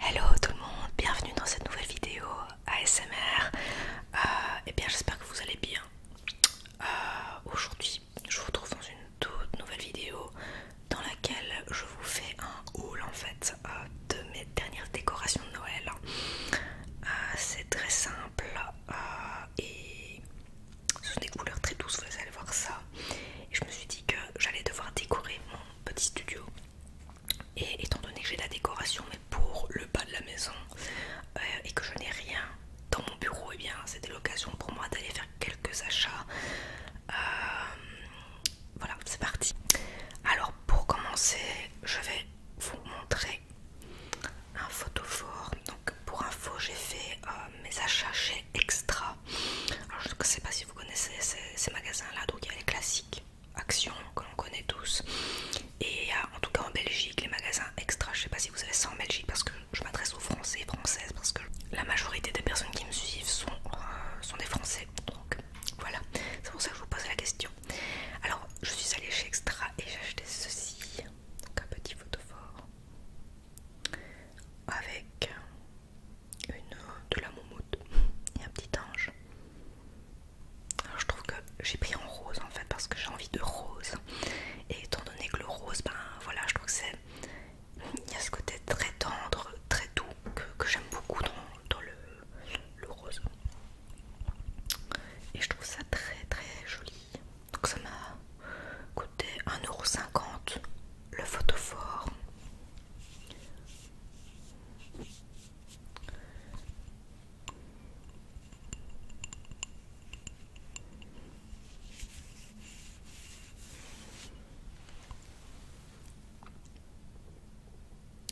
Hello tout le monde, bienvenue dans cette nouvelle vidéo ASMR. et euh, eh bien j'espère que vous allez bien. Euh, aujourd'hui, je vous retrouve dans une toute nouvelle vidéo dans laquelle je vous fais un haul en fait euh, de mes dernières décorations de Noël. C'est très simple et ce sont des couleurs très douces, vous allez voir ça. Et je me suis dit que j'allais devoir décorer mon petit studio. Et étant donné que j'ai la décoration, mais pour le bas de la maison, euh, et que je n'ai rien dans mon bureau, et eh bien c'était l'occasion pour moi d'aller faire quelques achats. Euh, voilà, c'est parti. Alors pour commencer, je vais vous montrer un fort Donc pour info, j'ai fait euh, mes achats chez Extra. Alors je ne sais pas si vous connaissez ces, magasins-là, donc il y a les classiques Action que l'on connaît tous, et euh, en tout cas en Belgique, les magasins extra, je ne sais pas si vous avez ça en Belgique parce que je m'adresse aux Français et Françaises parce que la majorité des personnes qui me suivent sont, euh, sont des Français, donc voilà, c'est pour ça que je vous pose la question. Alors je suis allée chez Extra et j'ai acheté ceci, donc un petit photophore avec une de la moumoute et un petit ange. je trouve que j'ai pris en rose en fait parce que j'ai envie de rose. Et étant donné que le rose, ben voilà, je trouve que c'est. Il y a ce côté très tendre, très doux que, j'aime beaucoup dans, le, le rose. Et je trouve ça très très joli. Donc ça m'a coûté 1,50€ le photophore.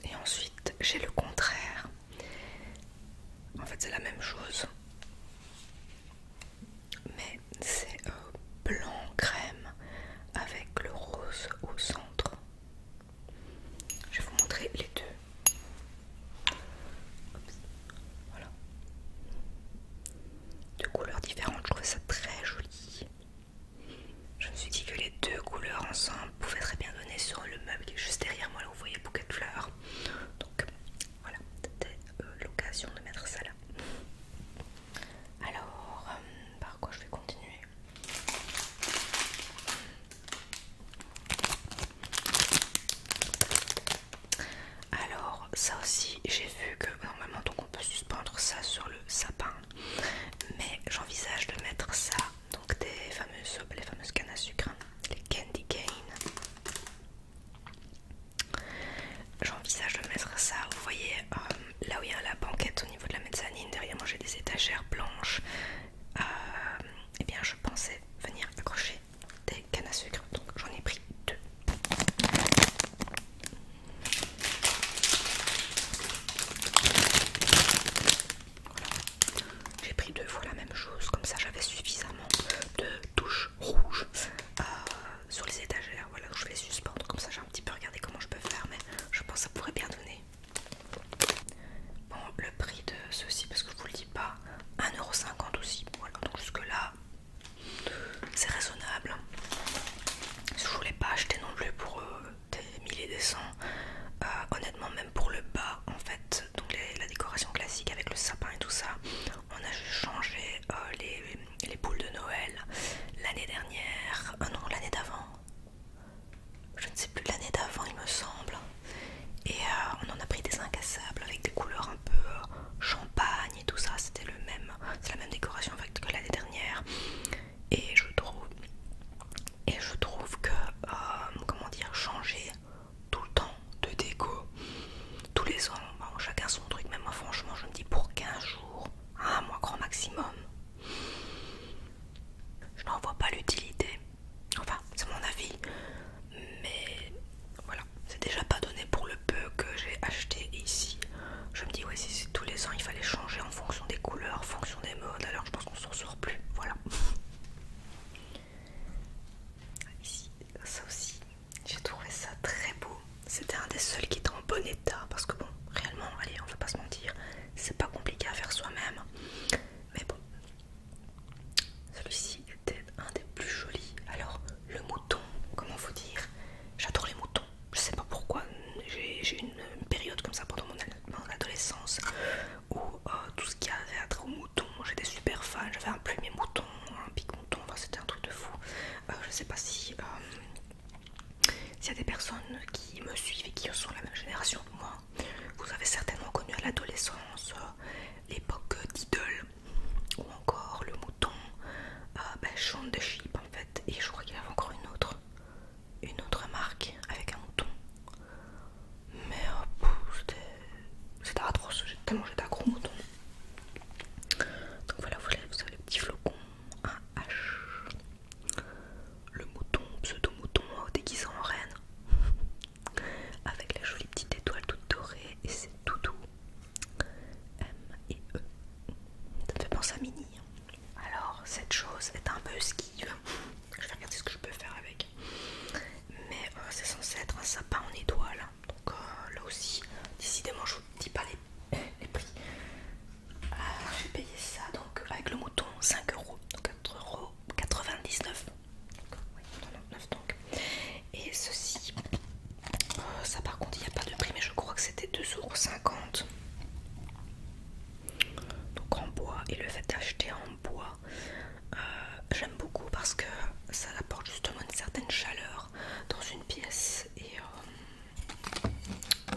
Et ensuite, j'ai le contraire. En fait, c'est la même chose mais c'est blanc crème avec le rose au centre. Je vais vous montrer les deux. Voilà. Deux couleurs différentes, je trouvais ça très joli. Je me suis dit que les deux couleurs ensemble pouvaient très bien donner sur le meuble qui est juste derrière moi, là vous voyez bouquet de fleurs. Donc voilà, c'était euh, l'occasion de mettre ça là. Alors, euh, par quoi je vais continuer Alors, ça aussi, j'ai vu que normalement, on peut suspendre ça sur le sapin, mais j'envisage de mettre ça, donc des fameuses, les fameuses cannes à sucre, hein, les candy cane. J'envisage de mettre ça, vous voyez, euh, là où il y a la banquette au niveau de la mezzanine, derrière moi j'ai des étagères blanches. et euh, eh bien je pensais venir accrocher des cannes à sucre, donc j'en ai pris deux. J'ai pris deux fois la même chose, comme ça j'avais suffisamment de touches rouges euh, sur les étagères. Voilà, je vais les suspendre comme ça. J'ai un petit peu regardé comment je peux faire, mais je pense que ça pourrait bien donner. Bon, le prix de ceci, parce que je vous le dis pas, 1,50€ aussi. Voilà, donc jusque-là, c'est raisonnable. Je voulais pas acheter non plus pour euh, des milliers des cents. Euh, honnêtement, même pour le bas, en fait, donc la décoration classique avec le sapin et tout ça, on a juste changé les, les boules de Noël l'année dernière, ah non l'année d'avant, je ne sais plus l'année d'avant il me semble, et euh, on en a pris des incassables avec des couleurs un peu euh, champagne et tout ça, c'était le même, c'est la même décoration en fait, que l'année dernière, et je trouve, et je trouve que euh, comment dire changer tout le temps de déco. Tous les ans, bah, chacun son truc, mais moi franchement je me dis pour 15 jours, un mois grand maximum. Je n'en vois pas l'utilité. Enfin, c'est mon avis. Mais voilà, c'est déjà pas donné pour le peu que j'ai acheté ici. Je me dis, ouais, si tous les ans il fallait changer en fonction des couleurs, en fonction des modes, alors je pense qu'on s'en sort plus. Voilà. Ici, ça aussi, j'ai trouvé ça très beau. C'était un des seuls qui était en bon état parce que bon, réellement, allez, on va pas se mentir, c'est pas compliqué à faire soi-même. Mais bon, celui-ci était un des plus jolis. Alors, le mouton, comment vous dire J'adore les moutons. Je sais pas pourquoi. J'ai eu une période comme ça pendant mon, adolescence où euh, tout ce qui avait à être au moutons, j'étais super fan. J'avais un premier mouton, un pigment c'était un truc de fou. Euh, je sais pas si il euh, s'il y a des personnes qui me suivent et qui sont de la même génération que moi. Vous avez certainement connu à l'adolescence euh, l'époque d'idole ou encore le mouton, euh, ben, de Sheep en fait. Et je crois qu'il y avait encore une autre, une autre marque avec un mouton. Mais c'était atroce, tellement j'étais gros mouton. Donc voilà, vous avez le petit flocon, un H, le mouton, pseudo-mouton hein, déguisé en reine, avec la jolie petite étoile toute dorée, et c'est tout M et E. Ça me fait penser à Mini. Hein. Alors, cette chose est un peu esquive. Je vais regarder ce que je peux faire avec. Mais euh, c'est censé être un sapin en étoile. Donc euh, là aussi, décidément, je vous dis pas les, prix. Euh, J'ai payé ça donc avec le mouton 5 euros, donc 4,99 euros. Et ceci, euh, ça par contre, il n'y a pas de prix, mais je crois que c'était euros, Donc en bois, et le fait d'acheter en bois euh, j'aime beaucoup parce que ça apporte justement une certaine chaleur dans une pièce et euh,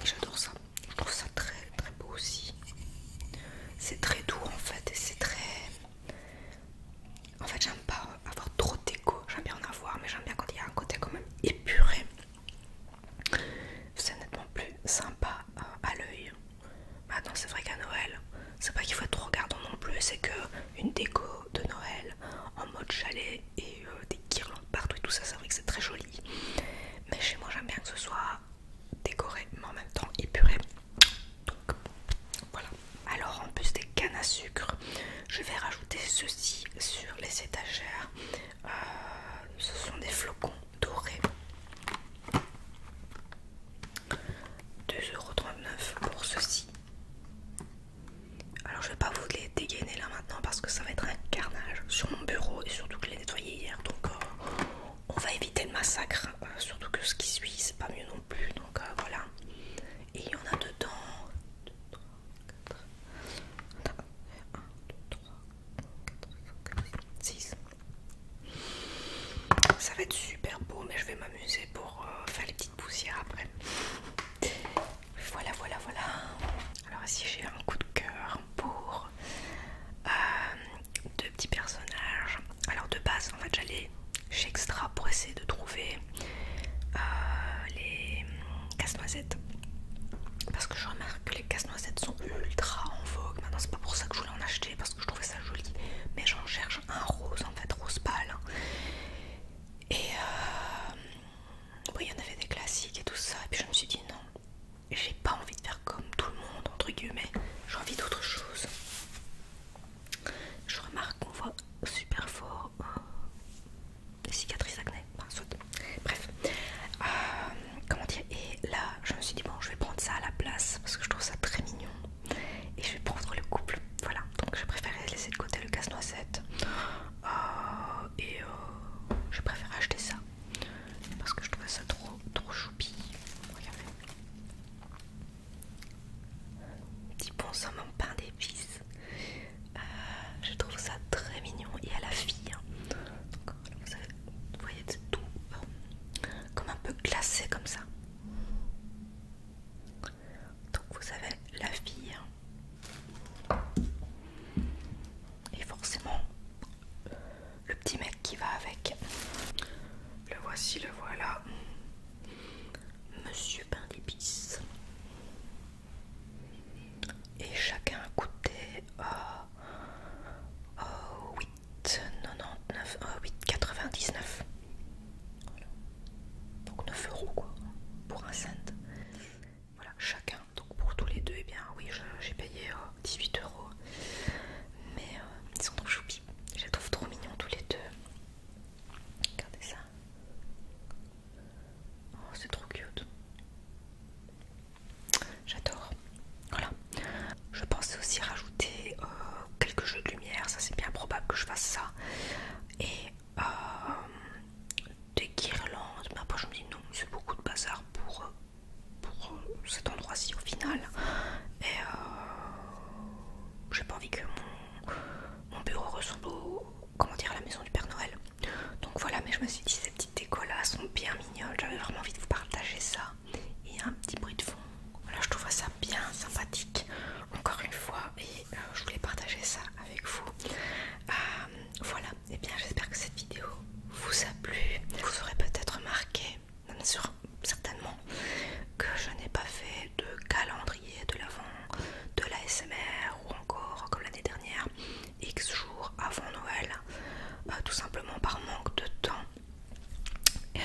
j'adore ça. Je trouve ça très très beau aussi. C'est très doux en fait et c'est très... En fait j'aime pas avoir trop d'écho, j'aime bien en avoir mais j'aime bien quand il y a un côté quand même épuré. C'est nettement plus sympa euh, à l'œil Maintenant, bah c'est vrai qu'à Noël, c'est pas qu'il faut être trop regardant non plus, c'est que une déco de Noël en mode chalet et euh, des guirlandes partout et tout ça, c'est vrai que c'est très joli. Mais chez moi, j'aime bien que ce soit décoré, mais en même temps épuré. Donc voilà. Alors, en plus des cannes à sucre, je vais rajouter ceci sur les étagères. Euh, ce sont des flocons dorés. 2,39€ pour ceci. Alors je vais pas vous les dégainer là maintenant parce que ça va être un carnage sur mon bureau et surtout que je l'ai nettoyé hier donc euh, on va éviter le massacre. Euh, surtout que ce qui suit c'est pas mieux non plus donc euh, voilà. Et il y en a dedans. 2, 3, 4, 1, 2, 3, 4, 5, 6, ça va être super beau, mais je vais m'amuser pour euh, faire les petites poussières après. Voilà, voilà, voilà. Alors ici j'ai un coup de cœur pour euh, deux petits personnages. Alors de base, en fait, j'allais chez Extra pour essayer de trouver euh, les casse-noisettes. Parce que je remarque que les casse-noisettes sont ultra en vogue. Maintenant, c'est pas pour ça que je voulais en acheter, parce que je trouvais ça joli. Mais j'en cherche un rose en fait, rose pâle. Hein. Et euh, oui, il y en avait des classiques et tout ça. Et puis je me suis dit non, j'ai pas envie de faire comme tout le monde, entre guillemets, j'ai envie d'autre chose. Je remarque qu'on voit super fort des euh, cicatrices acné, Bref, euh, comment dire, et là je me suis dit bon, je vais prendre ça à la place parce que je trouve ça très mignon et je vais prendre le couple. Voilà, donc je préfère laisser de côté le casse-noisette euh, et euh, je préfère acheter ça parce que je trouvais ça trop trop choupi. Regardez, petit bonhomme en pain d'épices. Euh, je trouve ça très mignon et à la fille. Hein. vous, voyez, c'est tout comme un peu glacé comme ça. Donc vous avez la fille et forcément le petit mec qui va avec. Le voici, le voilà. Monsieur Pain Et chacun a coûté euh, oh 99, euh, 99. donc 9 euros quoi pour un cent voilà chacun donc pour tous les deux et eh bien oui j'ai payé 18 euh, euros mais ils sont trop choupi je les trouve trop mignons tous les deux regardez ça oh, c'est trop cute j'adore. Voilà. Je pensais aussi rajouter euh, quelques jeux de lumière, ça c'est bien probable que je fasse ça. Et euh, des guirlandes, bah, mais après je me dis non, c'est beaucoup de bazar pour, euh, cet endroit-ci au final. Et j'ai pas envie que mon, bureau ressemble comment dire, à la maison du Père Noël. Donc voilà, mais je me suis dit ces petites décos là sont bien mignonnes, j'avais vraiment envie de vous partager ça et un petit bruit de fond. Voilà, je trouve ça bien sympathique encore une fois et euh, je voulais partager ça avec vous. Euh, voilà, et eh bien j'espère que cette vidéo vous a plu. Vous aurez peut-être remarqué, certainement, que je n'ai pas fait de calendrier de l'avant, de la ou encore comme l'année dernière, X jours avant Noël, euh, tout simplement par manque de temps. Euh,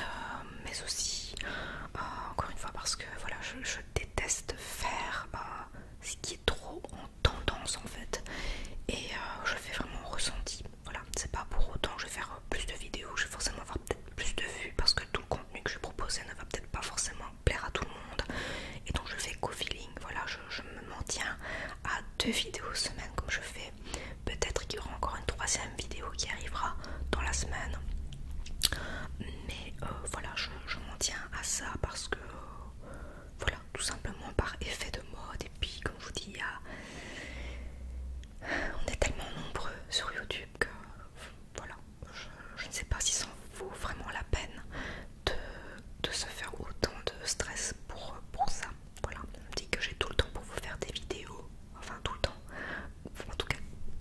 mais aussi euh, encore une fois parce que voilà je, déteste faire euh, ce qui est trop en tendance en fait et je fais vraiment ressenti voilà c'est pas pour autant que je vais faire plus de vidéos je vais forcément avoir peut-être plus de vues parce que tout le contenu que je proposer ne va peut-être pas forcément plaire à tout le monde et donc je fais co-feeling voilà je, me maintiens à deux vidéos semaine comme je fais Peut-être qu'il y aura encore une troisième vidéo qui arrivera dans la semaine. Mais euh, voilà, je, m'en tiens à ça parce que, euh, voilà, tout simplement par effet de mode. Et puis, comme je vous dis, on est tellement nombreux sur YouTube que, voilà, je, ne sais pas si ça vaut vraiment la peine de, de se faire autant de stress pour ça. Voilà, on me dit que j'ai tout le temps pour vous faire des vidéos, enfin tout le temps, en tout cas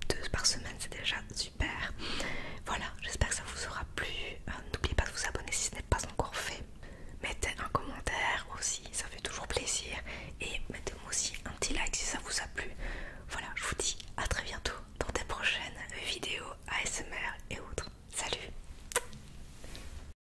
deux par semaine, c'est déjà super. Voilà, j'espère que ça vous aura plu. Euh, n'oubliez pas de vous abonner si ce n'est pas encore fait. Mettez un commentaire aussi, ça fait toujours plaisir. Et mettez-moi aussi un petit like si ça vous a plu. Voilà, je vous dis à très bientôt dans des prochaines vidéos ASMR et autres. Salut